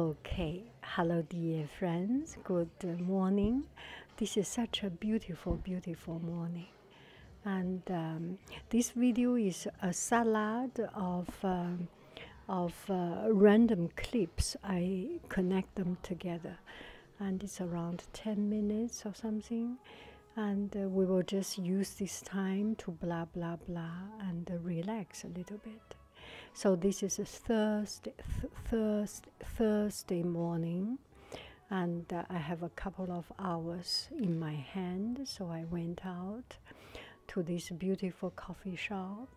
Okay, hello, dear friends. Good morning. This is such a beautiful, beautiful morning. And um, this video is a salad of, um, of uh, random clips. I connect them together. And it's around 10 minutes or something. And uh, we will just use this time to blah, blah, blah and relax a little bit. So this is a Thursday, Thursday, morning, and uh, I have a couple of hours in my hand. So I went out to this beautiful coffee shop,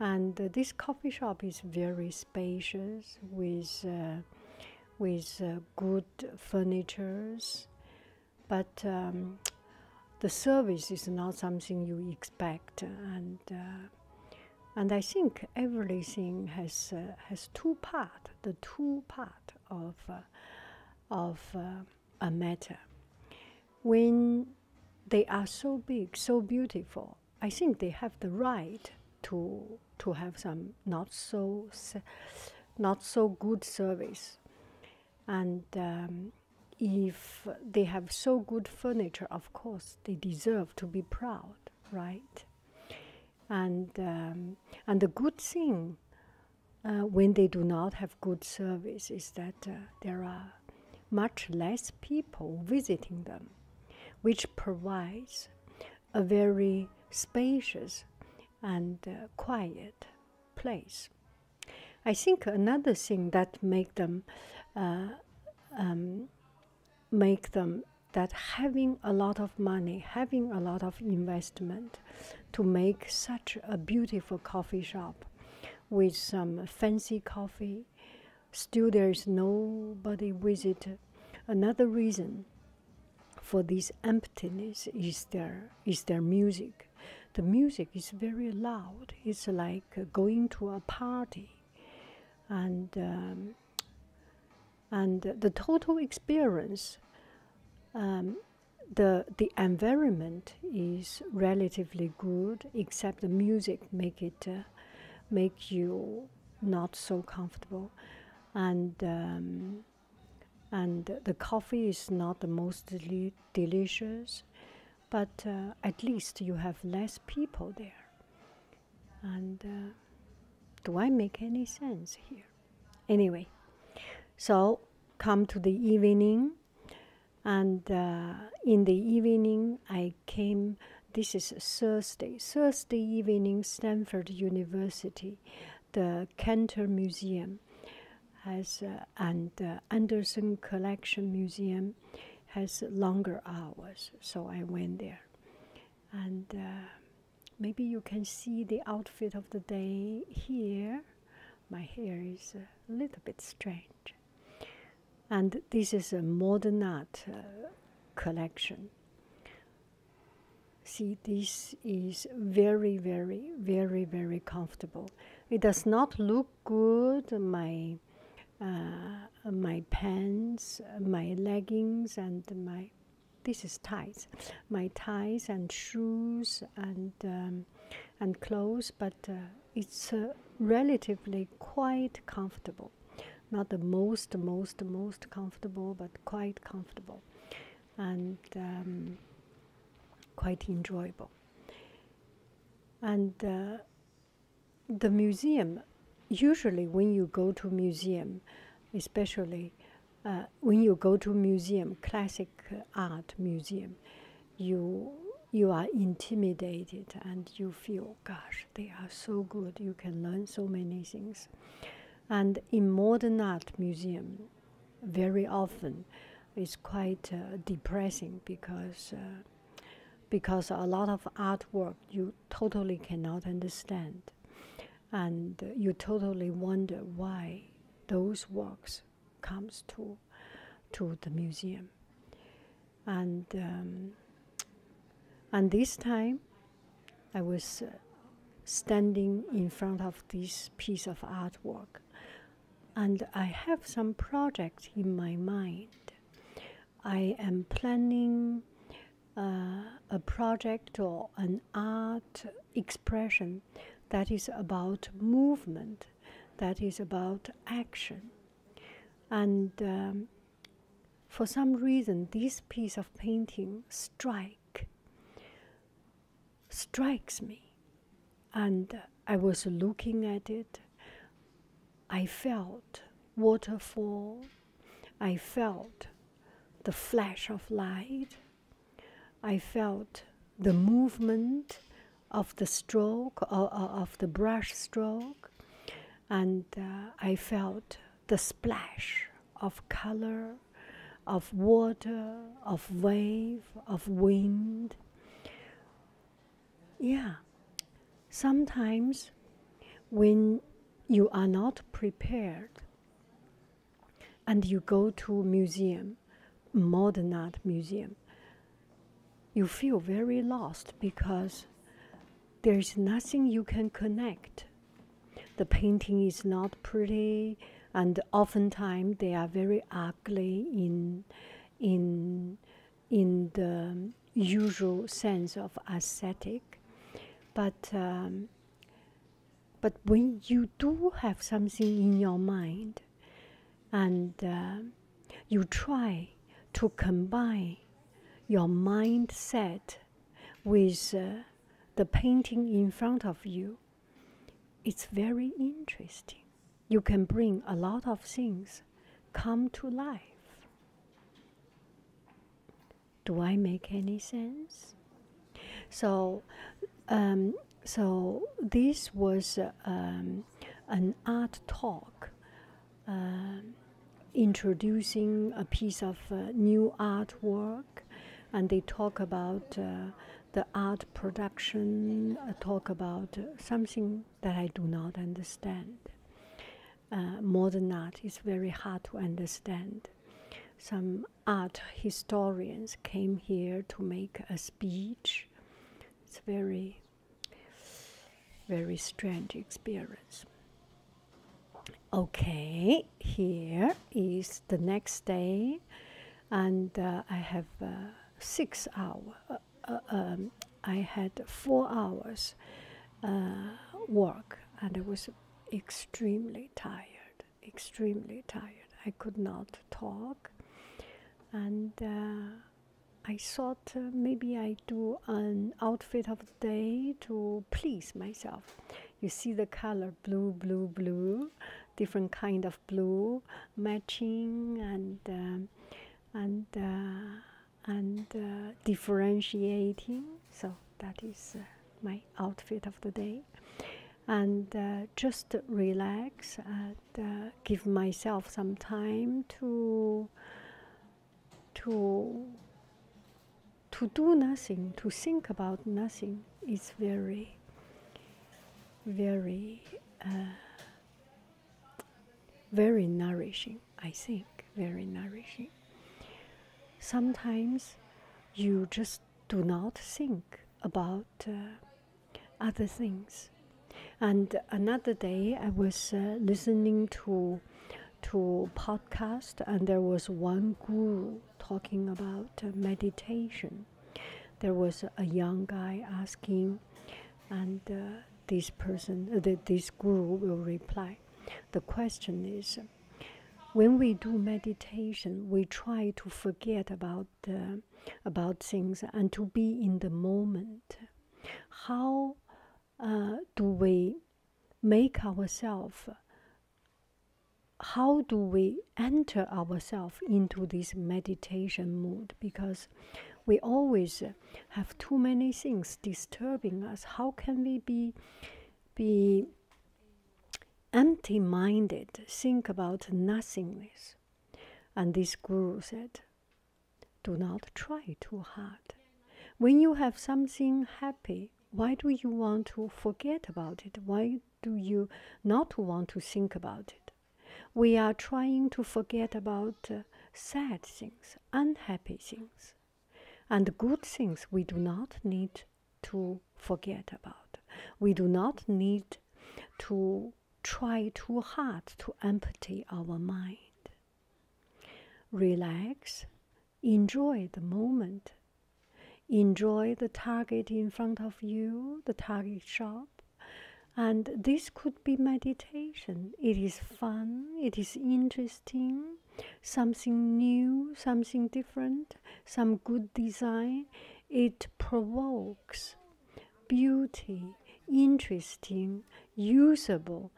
and uh, this coffee shop is very spacious with uh, with good furnitures, but. Um, the service is not something you expect, and uh, and I think everything has uh, has two part, the two part of uh, of a matter. When they are so big, so beautiful, I think they have the right to to have some not so not so good service, and um, if they have so good furniture, of course they deserve to be proud, right? And um, and the good thing uh, when they do not have good service is that uh, there are much less people visiting them, which provides a very spacious and uh, quiet place I think another thing that make them uh, um, make them that having a lot of money, having a lot of investment to make such a beautiful coffee shop with some fancy coffee, still there is nobody visit. Another reason for this emptiness is there is there music. The music is very loud. It's like going to a party, and um, and the total experience. Um, the the environment is relatively good, except the music make it uh, make you not so comfortable, and um, and the coffee is not the most delicious, but uh, at least you have less people there. And uh, do I make any sense here? Anyway, so come to the evening, and uh, in the evening I came. This is Thursday. Thursday evening, Stanford University, the Cantor Museum has and Anderson Collection Museum has longer hours, so I went there. And uh, maybe you can see the outfit of the day here. My hair is a little bit strange. And this is a modern art uh, collection. See, this is very, very, very, very comfortable. It does not look good. My uh, my pants, my leggings, and my this is ties, my ties and shoes and um, and clothes. But uh, it's uh, relatively quite comfortable, not the most most most comfortable, but quite comfortable, and um, quite enjoyable. And the museum, usually when you go to museum, especially uh, when you go to museum, classic uh, art museum, you you are intimidated and you feel, gosh, they are so good. You can learn so many things, and in modern art museum, very often it's quite uh, depressing because uh, because a lot of artwork you totally cannot understand, and you totally wonder why those works comes to to the museum, and um, and this time I was. Uh, standing in front of this piece of artwork. And I have some project in my mind. I am planning uh, a project or an art expression that is about movement, that is about action. And um, for some reason, this piece of painting, Strike, strikes me and I was looking at it. I felt waterfall. I felt the flash of light. I felt the movement of the stroke or, of the brush stroke, and uh, I felt the splash of color, of water, of wave, of wind. Yeah. Sometimes when you are not prepared and you go to museum, modern art museum, you feel very lost because there is nothing you can connect. The painting is not pretty and oftentimes they are very ugly in in in the usual sense of ascetic, but um, but when you do have something in your mind, and uh, you try to combine your mindset with uh, the painting in front of you, it's very interesting you can bring a lot of things come to life. Do I make any sense? So, um, so this was um, an art talk, uh, introducing a piece of uh, new artwork, and they talk about uh, the art production, talk about something that I do not understand. Uh, modern art is very hard to understand. Some art historians came here to make a speech. It's very, very strange experience. Okay, here is the next day, and uh, I have uh, six hours. Uh, um, I had four hours uh, work, and I was extremely tired, extremely tired. I could not talk, and uh, I thought maybe I do an outfit of the day to please myself. You see the color blue, blue, blue, different kind of blue matching, and um, and and uh, differentiating. So that is uh, my outfit of the day, and uh, just relax and give myself some time to to to do nothing, to think about nothing. Is very very very nourishing, I think. Very nourishing. Sometimes you just do not think about uh, other things. And another day, I was uh, listening to to podcast, and there was one guru talking about uh, meditation. There was a young guy asking and uh, this person, uh, this guru will reply. The question is, when we do meditation, we try to forget about uh, about things and to be in the moment. How do we make ourselves? How do we enter ourselves into this meditation mood? Because we always have too many things disturbing us how can we be be empty minded think about nothingness and this guru said do not try too hard when you have something happy why do you want to forget about it why do you not want to think about it we are trying to forget about uh, sad things unhappy things. And good things we do not need to forget about. We do not need to try too hard to empty our mind. Relax, enjoy the moment, enjoy the target in front of you, the target shop. And this could be meditation. It is fun, it is interesting, something new, something different, some good design. It provokes beauty, interesting, usable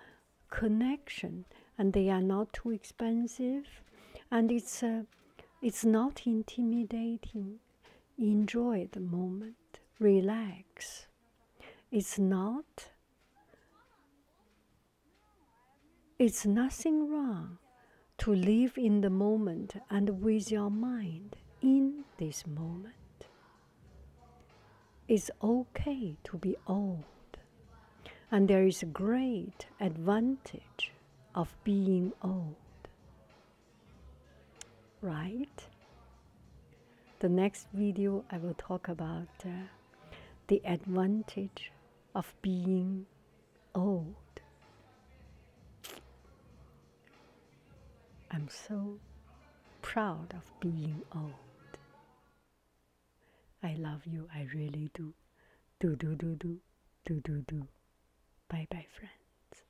connection, and they are not too expensive, and it's uh, it's not intimidating. Enjoy the moment, relax. It's not it's nothing wrong to live in the moment and with your mind in this moment. It's okay to be old, and there is a great advantage of being old. Right? the next video I will talk about uh, the advantage of being old. I'm so proud of being old. I love you, I really do. Do do do do do do do. Bye bye friends.